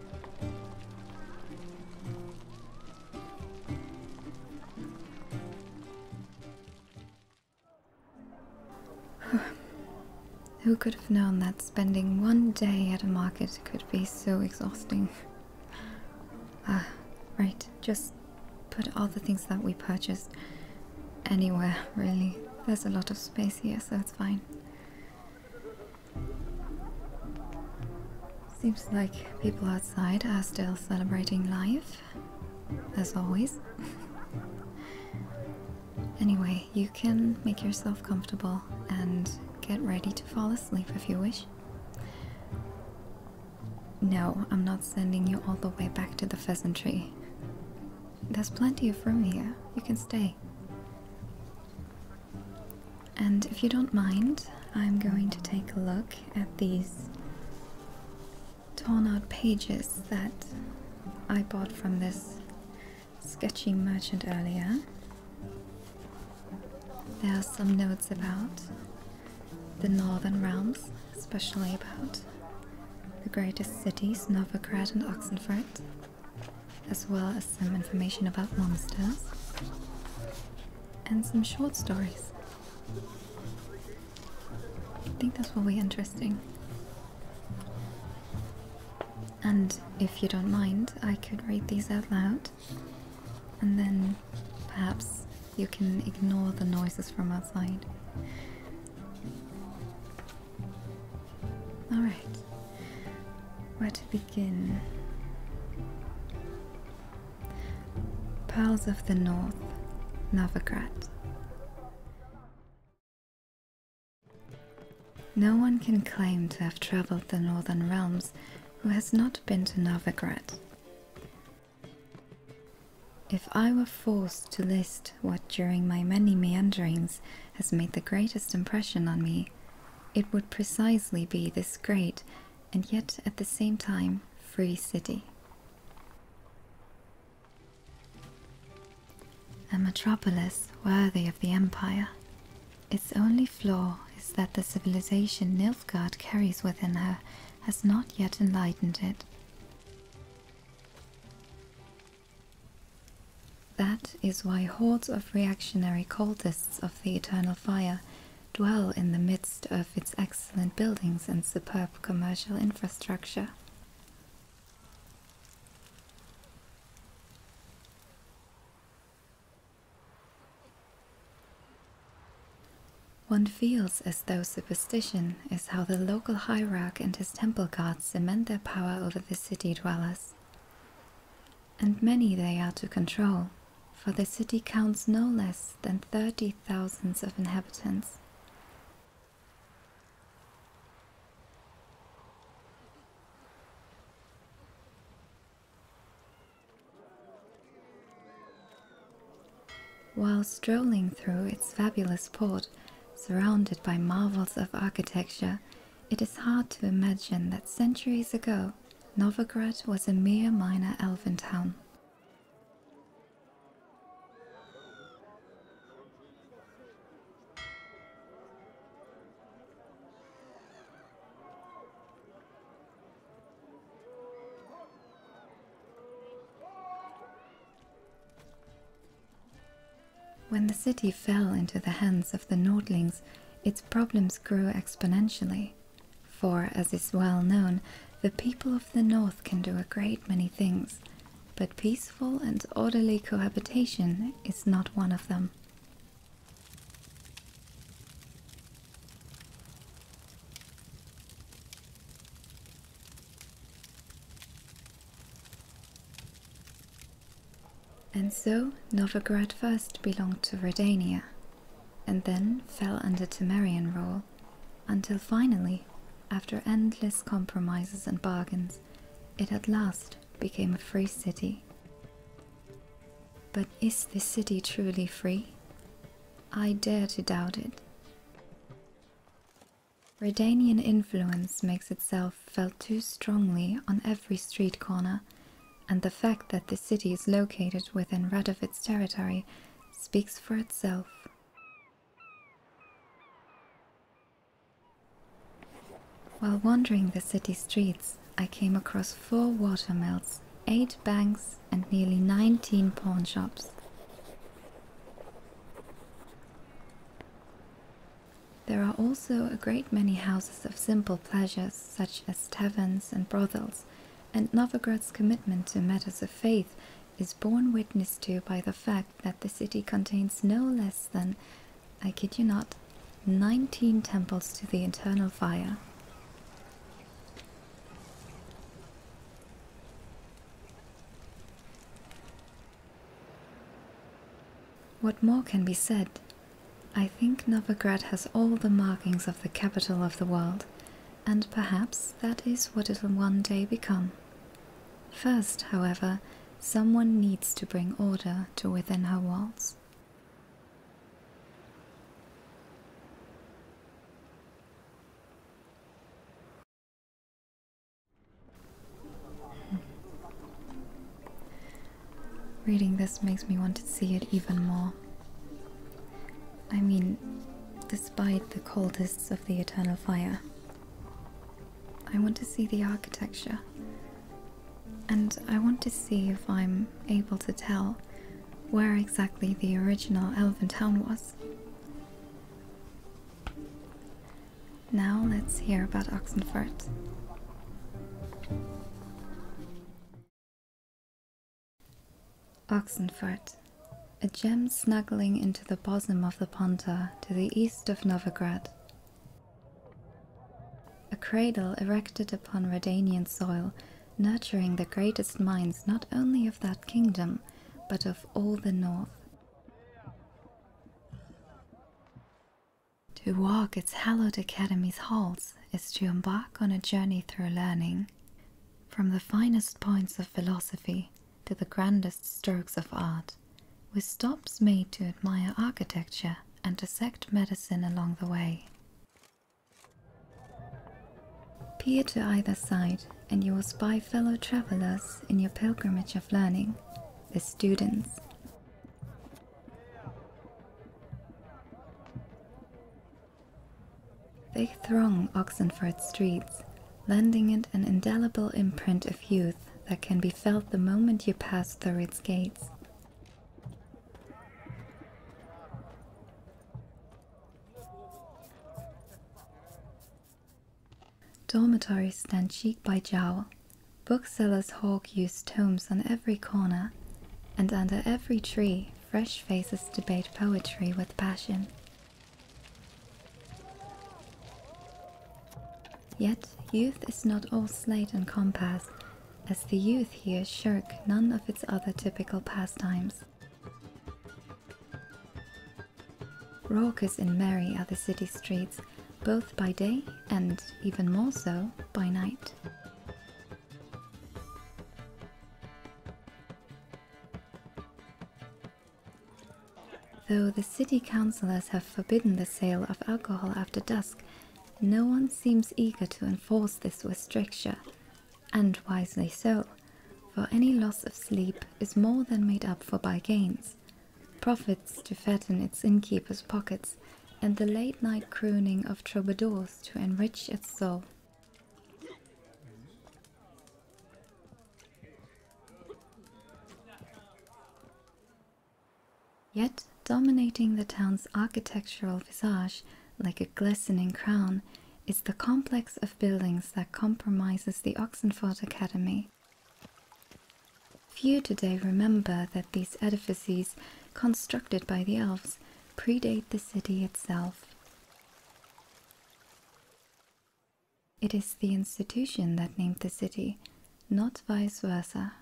Who could have known that spending one day at a market could be so exhausting? Ah, right. Just put all the things that we purchased anywhere, really. There's a lot of space here, so it's fine. Seems like people outside are still celebrating life, as always. anyway, you can make yourself comfortable and get ready to fall asleep if you wish. No, I'm not sending you all the way back to the pheasantry. There's plenty of room here. You can stay. And if you don't mind, I'm going to take a look at these torn out pages that I bought from this sketchy merchant earlier. There are some notes about the northern realms, especially about the greatest cities, Novgorod and Oxenfurt as well as some information about monsters and some short stories. I think that's will be interesting. And if you don't mind, I could read these out loud, and then perhaps you can ignore the noises from outside. Alright, where to begin? Pearls of the North, Novograd. No one can claim to have travelled the northern realms who has not been to Novograd. If I were forced to list what during my many meanderings has made the greatest impression on me, it would precisely be this great and yet at the same time free city. A metropolis worthy of the empire. Its only flaw is that the civilization Nilfgaard carries within her has not yet enlightened it. That is why hordes of reactionary cultists of the Eternal Fire dwell in the midst of its excellent buildings and superb commercial infrastructure. One feels as though superstition is how the local hierarch and his temple guards cement their power over the city dwellers. And many they are to control, for the city counts no less than thirty thousands of inhabitants. While strolling through its fabulous port, surrounded by marvels of architecture, it is hard to imagine that centuries ago, Novgorod was a mere minor elven town. When the city fell into the hands of the Nordlings, its problems grew exponentially. For, as is well known, the people of the north can do a great many things, but peaceful and orderly cohabitation is not one of them. And so Novgorod first belonged to Redania, and then fell under Temerian rule, until finally, after endless compromises and bargains, it at last became a free city. But is this city truly free? I dare to doubt it. Redanian influence makes itself felt too strongly on every street corner, and the fact that the city is located within Radovit's territory speaks for itself. While wandering the city streets, I came across four watermills, eight banks, and nearly 19 pawnshops. There are also a great many houses of simple pleasures, such as taverns and brothels, and Novgorod's commitment to matters of faith is borne witness to by the fact that the city contains no less than, I kid you not, 19 temples to the Eternal fire. What more can be said? I think Novgorod has all the markings of the capital of the world, and perhaps that is what it'll one day become. First, however, someone needs to bring order to within her walls. Hmm. Reading this makes me want to see it even more. I mean, despite the coldest of the eternal fire, I want to see the architecture. And I want to see if I'm able to tell where exactly the original elven town was. Now let's hear about Oxenfurt. Oxenfurt, a gem snuggling into the bosom of the Ponta to the east of Novigrad. A cradle erected upon Redanian soil, nurturing the greatest minds not only of that kingdom, but of all the north. To walk its hallowed academy's halls is to embark on a journey through learning, from the finest points of philosophy to the grandest strokes of art, with stops made to admire architecture and dissect medicine along the way. Peer to either side, and you will spy fellow travelers in your pilgrimage of learning, the students. They throng Oxenford streets, lending it an indelible imprint of youth that can be felt the moment you pass through its gates. Dormitories stand cheek by jowl. Booksellers' hawk used tomes on every corner, and under every tree, fresh faces debate poetry with passion. Yet youth is not all slate and compass, as the youth here shirk none of its other typical pastimes. Raucous and merry are the city streets, both by day and, even more so, by night. Though the city councillors have forbidden the sale of alcohol after dusk, no one seems eager to enforce this restriction, and wisely so, for any loss of sleep is more than made up for by gains, profits to fatten its innkeepers' pockets, and the late night crooning of troubadours to enrich its soul. Yet, dominating the town's architectural visage, like a glistening crown, is the complex of buildings that compromises the Oxenford Academy. Few today remember that these edifices, constructed by the elves, predate the city itself. It is the institution that named the city, not vice versa.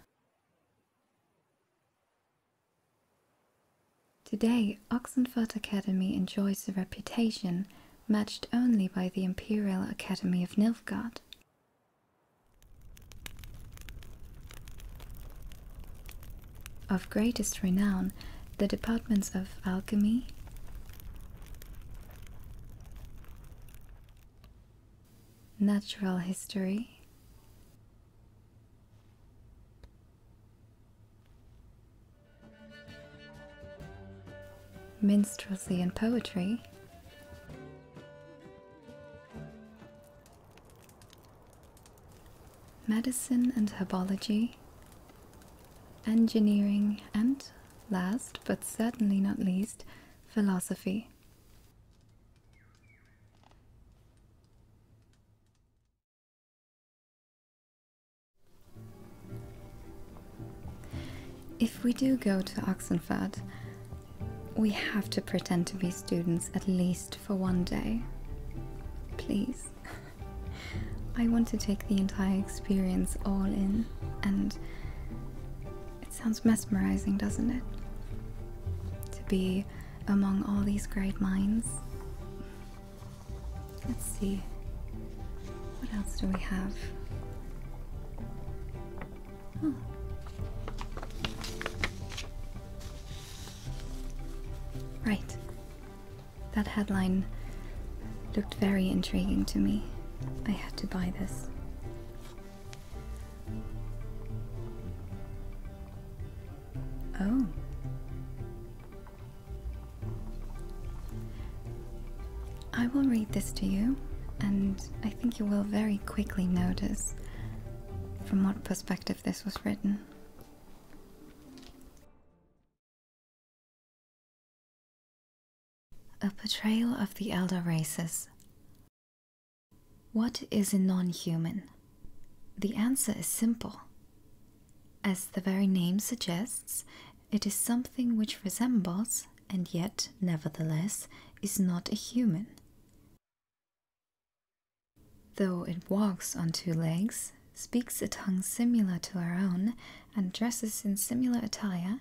Today, Oxenford Academy enjoys a reputation matched only by the Imperial Academy of Nilfgaard. Of greatest renown, the departments of alchemy, natural history, minstrelsy and poetry. Medicine and herbology, engineering, and last but certainly not least, philosophy. If we do go to Oxenford, we have to pretend to be students at least for one day. Please. I want to take the entire experience all in, and it sounds mesmerizing, doesn't it? To be among all these great minds. Let's see. What else do we have? Oh. Right. That headline looked very intriguing to me. I had to buy this. Oh. I will read this to you, and I think you will very quickly notice from what perspective this was written. A portrayal of the elder races. What is a non human? The answer is simple. As the very name suggests, it is something which resembles, and yet, nevertheless, is not a human. Though it walks on two legs, speaks a tongue similar to our own, and dresses in similar attire,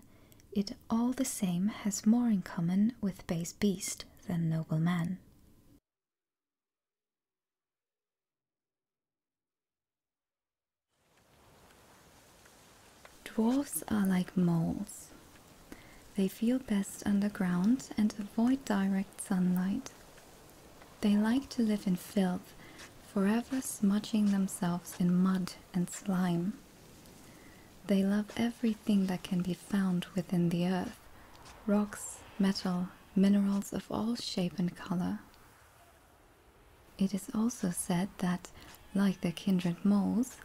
it all the same has more in common with base beast than noble man. Dwarfs are like moles. They feel best underground and avoid direct sunlight. They like to live in filth, forever smudging themselves in mud and slime. They love everything that can be found within the earth rocks, metal, minerals of all shape and color. It is also said that, like their kindred moles,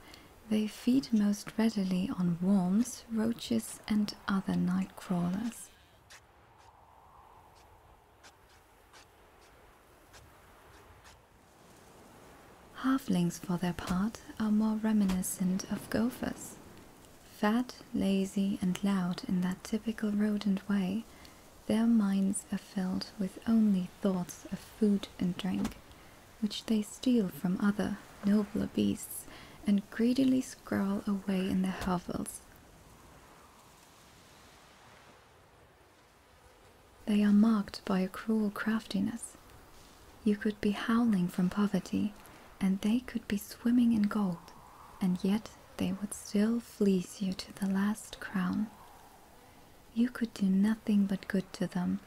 they feed most readily on worms, roaches, and other night crawlers. Halflings, for their part, are more reminiscent of gophers. Fat, lazy, and loud in that typical rodent way, their minds are filled with only thoughts of food and drink, which they steal from other, nobler beasts, and greedily scrawl away in their hovels. They are marked by a cruel craftiness. You could be howling from poverty, and they could be swimming in gold, and yet they would still fleece you to the last crown. You could do nothing but good to them,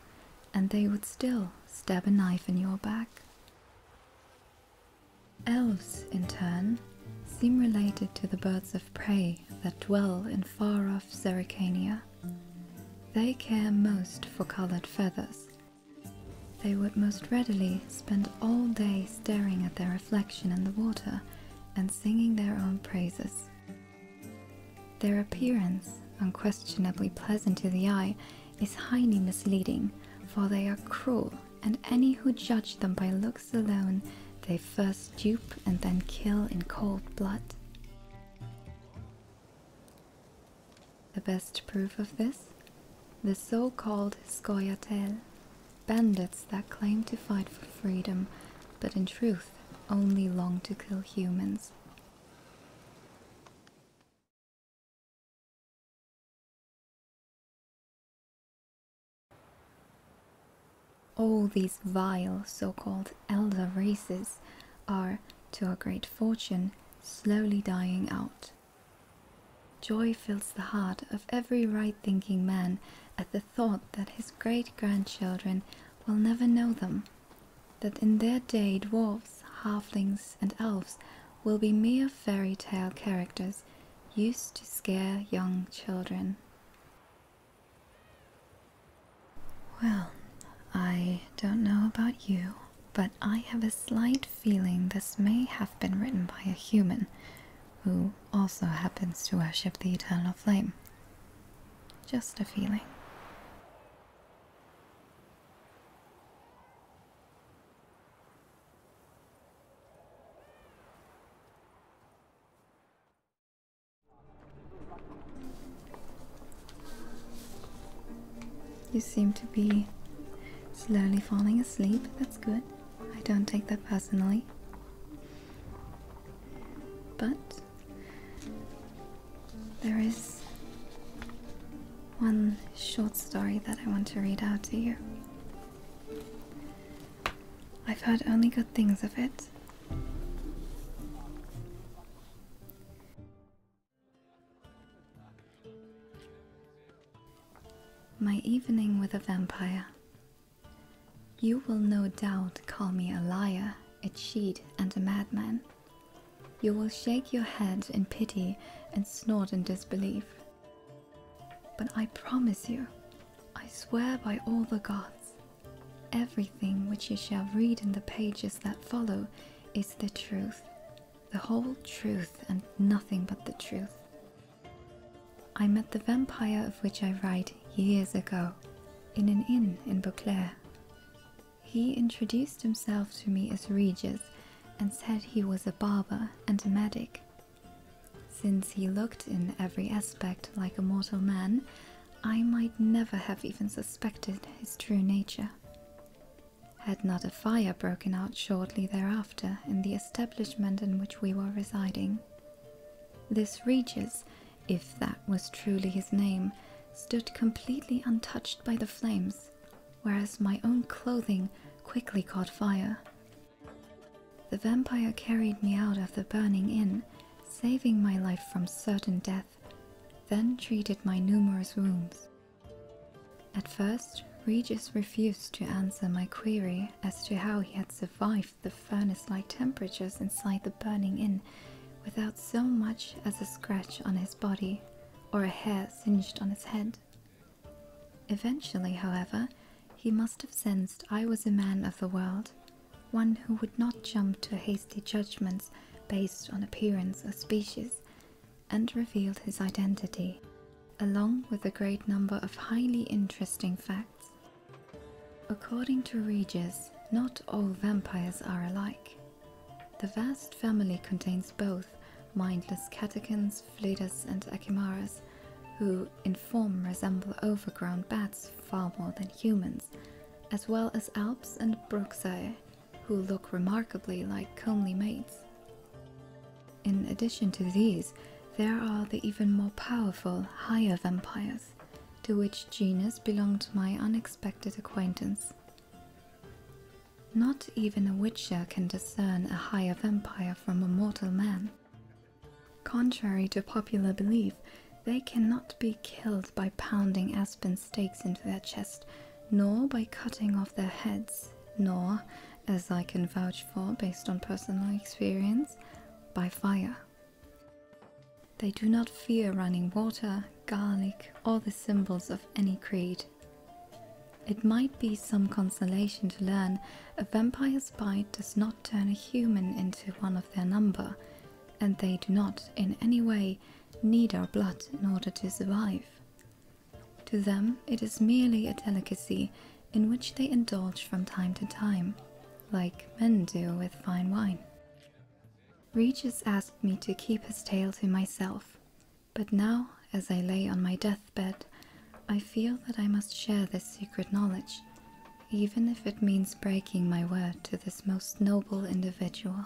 and they would still stab a knife in your back. Elves, in turn, seem related to the birds of prey that dwell in far off Zeracania. They care most for colored feathers. They would most readily spend all day staring at their reflection in the water and singing their own praises. Their appearance, unquestionably pleasant to the eye, is highly misleading, for they are cruel, and any who judge them by looks alone, they first dupe and then kill in cold blood. The best proof of this? The so-called scoia'tael, Bandits that claim to fight for freedom, but in truth only long to kill humans. All these vile so-called elder races are, to our great fortune, slowly dying out. Joy fills the heart of every right-thinking man at the thought that his great grandchildren will never know them, that in their day dwarfs, halflings, and elves will be mere fairy tale characters used to scare young children. Well, I don't know about you, but I have a slight feeling this may have been written by a human who also happens to worship the eternal flame. Just a feeling. You seem to be slowly falling asleep. That's good. I don't take that personally. But there is one short story that I want to read out to you. I've heard only good things of it. My Evening with a Vampire you will no doubt call me a liar, a cheat, and a madman. You will shake your head in pity and snort in disbelief. But I promise you, I swear by all the gods, everything which you shall read in the pages that follow is the truth, the whole truth, and nothing but the truth. I met the vampire of which I write years ago in an inn in Beauclair. He introduced himself to me as Regis and said he was a barber and a medic. Since he looked in every aspect like a mortal man, I might never have even suspected his true nature. Had not a fire broken out shortly thereafter in the establishment in which we were residing, this Regis, if that was truly his name, stood completely untouched by the flames, whereas my own clothing quickly caught fire. The vampire carried me out of the burning inn, saving my life from certain death, then treated my numerous wounds. At first, Regis refused to answer my query as to how he had survived the furnace-like temperatures inside the burning inn without so much as a scratch on his body or a hair singed on his head. Eventually, however, he must have sensed I was a man of the world, one who would not jump to hasty judgments based on appearance or species, and revealed his identity along with a great number of highly interesting facts. According to Regis, not all vampires are alike. The vast family contains both mindless catechins, Fledas, and achimaras, who in form resemble overgrown bats far more than humans, as well as Alps and Brooksire, who look remarkably like comely maids. In addition to these, there are the even more powerful higher vampires, to which genus belonged my unexpected acquaintance. Not even a witcher can discern a higher vampire from a mortal man. Contrary to popular belief, they cannot be killed by pounding aspen stakes into their chest, nor by cutting off their heads, nor, as I can vouch for based on personal experience, by fire. They do not fear running water, garlic, or the symbols of any creed. It might be some consolation to learn a vampire's bite does not turn a human into one of their number, and they do not in any way need our blood in order to survive. To them, it is merely a delicacy in which they indulge from time to time, like men do with fine wine. Regis asked me to keep his tale to myself, but now, as I lay on my deathbed, I feel that I must share this secret knowledge, even if it means breaking my word to this most noble individual.